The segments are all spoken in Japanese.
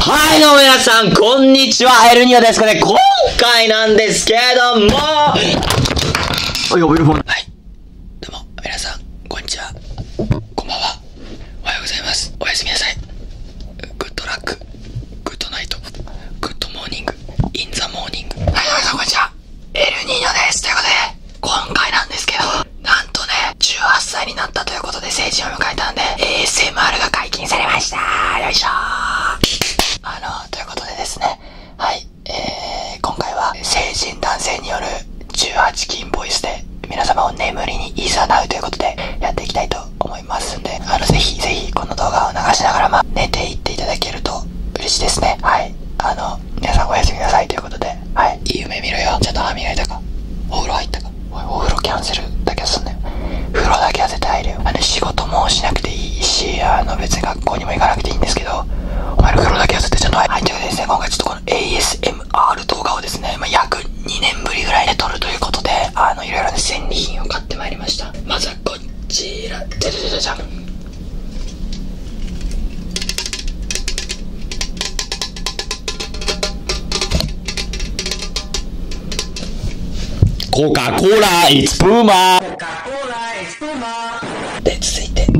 はいどうも皆さん、こんにちは、ヘルニアです。これ、今回なんですけれども、どうも、皆さん、こんにちは、こんばんは。おはようございますおやすみなさいグッドラックグッドナイトグッドモーニングインザモーニングはい皆さんこんにちはエルニーニョですということで今回なんですけどなんとね18歳になったということで成人を迎えたんで ASMR が解禁されましたよいしょあのということでですねはいえー、今回は成人男性による18禁ボイスで皆様を眠りに誘うということでやっていきたいと思いますんで、あの、ぜひぜひこの動画を流しながら、まあ、寝ていっていただけると嬉しいですね。はい。あの、皆さんおやすみなさいということで、はい。いい夢見ろよ。ちゃんと歯磨いたか。お風呂入ったか。おい、お風呂キャンセルだけはすんなよ。風呂だけは絶て入るよ。あの、仕事もしなくていいし、あの、別に学校にも行かなくていいんですけど、お前の風呂だけは絶てちゃんと入いというさいですね。今回ちょっとこの a s m a s 動画をですね、まあ、約2年ぶりぐらいで撮るということで、あの、いろいろな戦利品を買ってまいりました。まずはこちら、じゃじゃじコカ・コーラ、イツ・プーマー。コカ・コーラ、イツ・プーマー。で、続いて。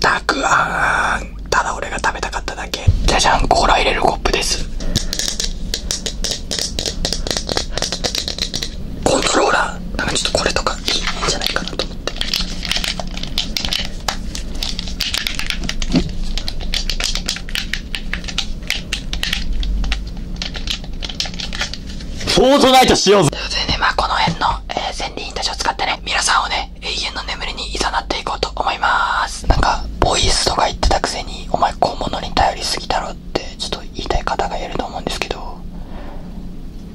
たくあんただ俺が食べたかっただけじゃじゃんコーラ入れるコップですコントローラーなんかちょっとこれとかいいんじゃないかなと思ってフォートナイトしようぜということでね、まあこの辺の、えー、千たちを使ってね、皆さんをね、永遠の眠りに誘っていこうと思います。なんか、ボイスとか言ってたくせに、お前こう物に頼りすぎだろって、ちょっと言いたい方がいると思うんですけど、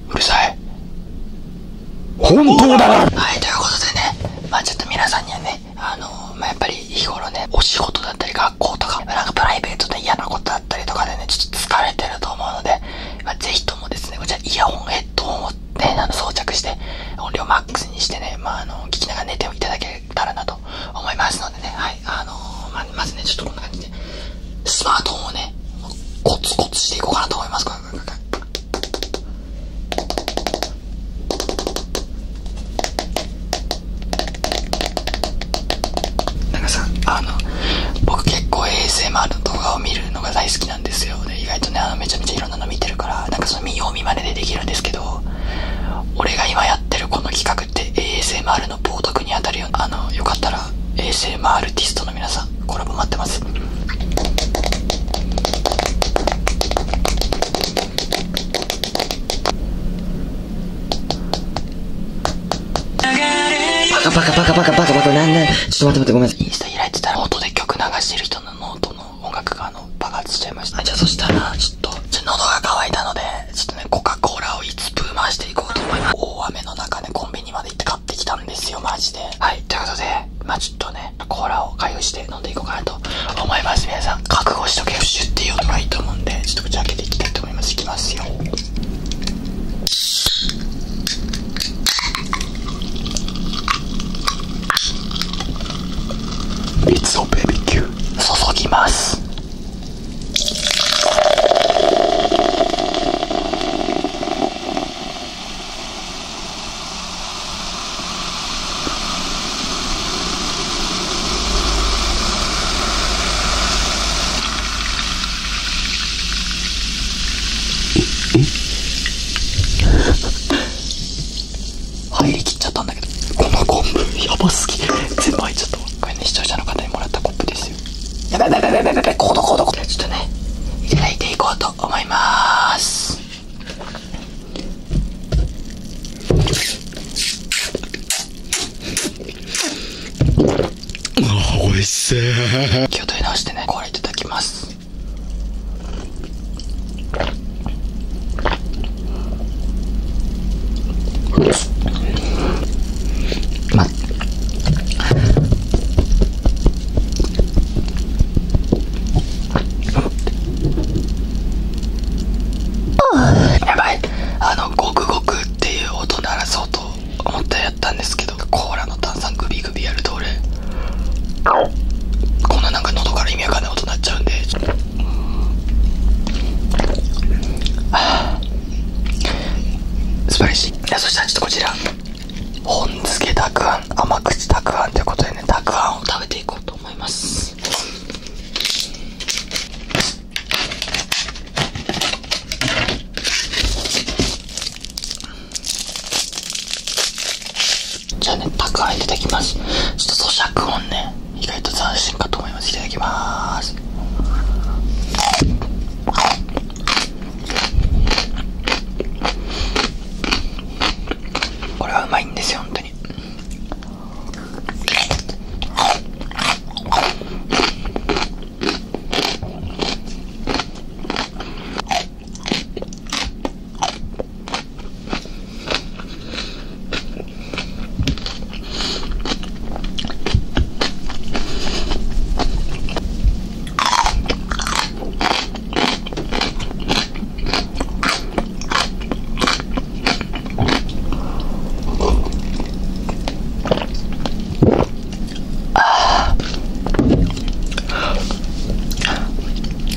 うるさい。本当だはい、ということでね、まあちょっと皆さんにはね、あのまやっぱり日頃ね、お仕事だったり学校とか、なんかプライベートで嫌なことだったりとかでね、ちょっと疲れてると思うので、まあぜひともですね、こちらイヤホンヘッドホンをね、あの装着して、音量マックスにしてね、まあの聞きながら寝ていただけたらなと思いますのでね、はい、あのままずね、ちょっとこんな感じで、スマートフォンをね、コツコツしていこうかなと思います。かったなんかさあの僕結構 ASMR の動画を見るのが大好きなんですよで意外とねめちゃめちゃいろんなの見てるからなんかその見よう見まねでできるんですけど俺が今やってるこの企画って ASMR の冒涜に当たるよあのよかったら ASMR ティストの皆さんコラボ待ってますちょっと待って待ってごめんなさいインスタ開いてたらノで曲流してる人のノートの音楽があの爆発しちゃいましたじゃあそしたらちょっと喉が渇いたのでちょっとねコカ・コーラをいつ分回していこうと思います大雨の中ねコンビニまで行って買ってきたんですよマジではいということでまあちょっとねコーラを開封して飲んでいこうかなと思います皆さん覚悟しとけよシュッて言う音がいいと思うんでちょっと口開けていきたいと思いますいきますよいつをベビキュー注ぎます入りきっちゃったんだけどこのコンブやばすぎ全部入っちゃっためんね視聴者の方にもらったコップですよちょっとね、いただいていこうと思います。気を取り直してね、これいただきます。ます。やばいあのゴクゴクっていう音鳴らそうと思ってやったんですけどコーラの炭酸グビグビやると俺こんななんか喉から意味わかんない音鳴っちゃうんでああ素晴らしいそしたらちょっとこちら本漬けたくあん甘口たくあんということでねたくあんを食べていこうと思いますじゃあねたくあんいただきますちょっと咀嚼音ね意外と斬新かと思いますいただきますこれはうまいんですよ本当に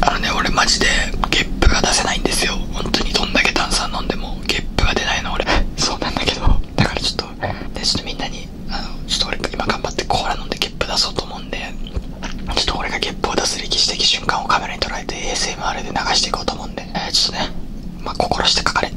あのね俺マジでゲップが出せないんですよ本当にどんだけ炭酸飲んでもゲップが出ないの俺そうなんだけどだからちょっとでちょっとみんなにあのちょっと俺今頑張ってコーラ飲んでゲップ出そうと思うんでちょっと俺がゲップを出す歴史的瞬間をカメラに捉えて ASMR で流していこうと思うんで、えちょっとねまあ心して書かれ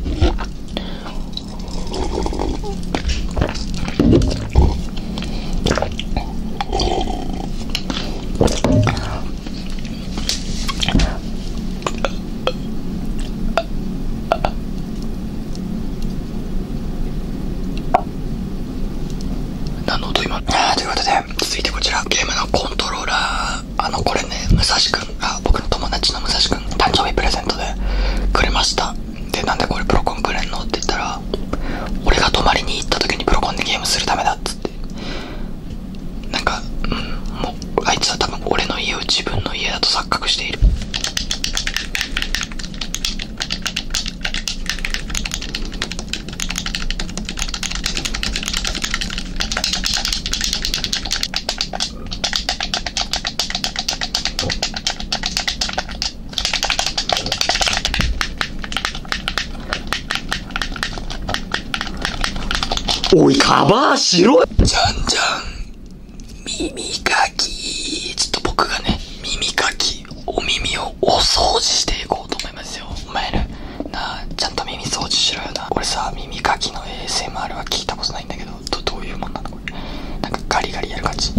なのと今ということで続いてこちらゲームのコントローラーあのこれね武蔵くんが僕の友達の武蔵くん誕生日プレゼントでくれましたでなんでこれプロコンくれんのって言ったら俺が泊まりに行った時にプロコンでゲームするためだっつっっなんか、うん、もうあいつは多分俺の家を自分の家だと錯覚しているおい、カバーしろじゃんじゃん。耳かき。ちょっと僕がね、耳かき、お耳をお掃除していこうと思いますよ。お前ら、なちゃんと耳掃除しろよな。俺さ、耳かきの ASMR は聞いたことないんだけど、ど、ういうもんなのこれ。なんかガリガリやる感じ。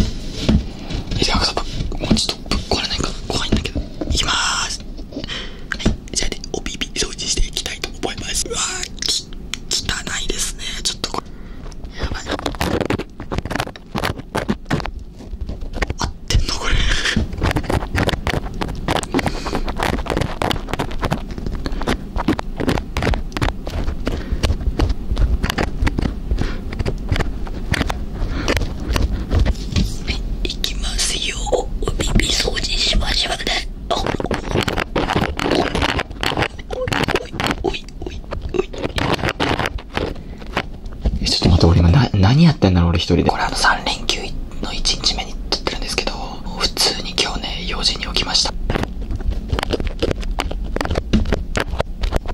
え、で、あ、もうちょっとこれないか怖いんだけど。いきます。はいじゃあねお耳掃除していきたいと思いますうわーき汚いですねちょっとこれやばい合ってんのこれいきますよお耳掃除しましょうねおいおいおいおいおいえちょっと待って俺今な何やってんだろう俺一人でこれあの3連休の1日目に撮ってるんですけど普通に今日ね4時に起きましたじゃあ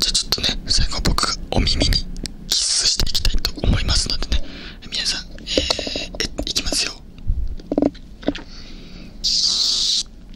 ちょっとね最後僕がお耳にキスしていきたいと思いますのでね皆さんえー、いきますよ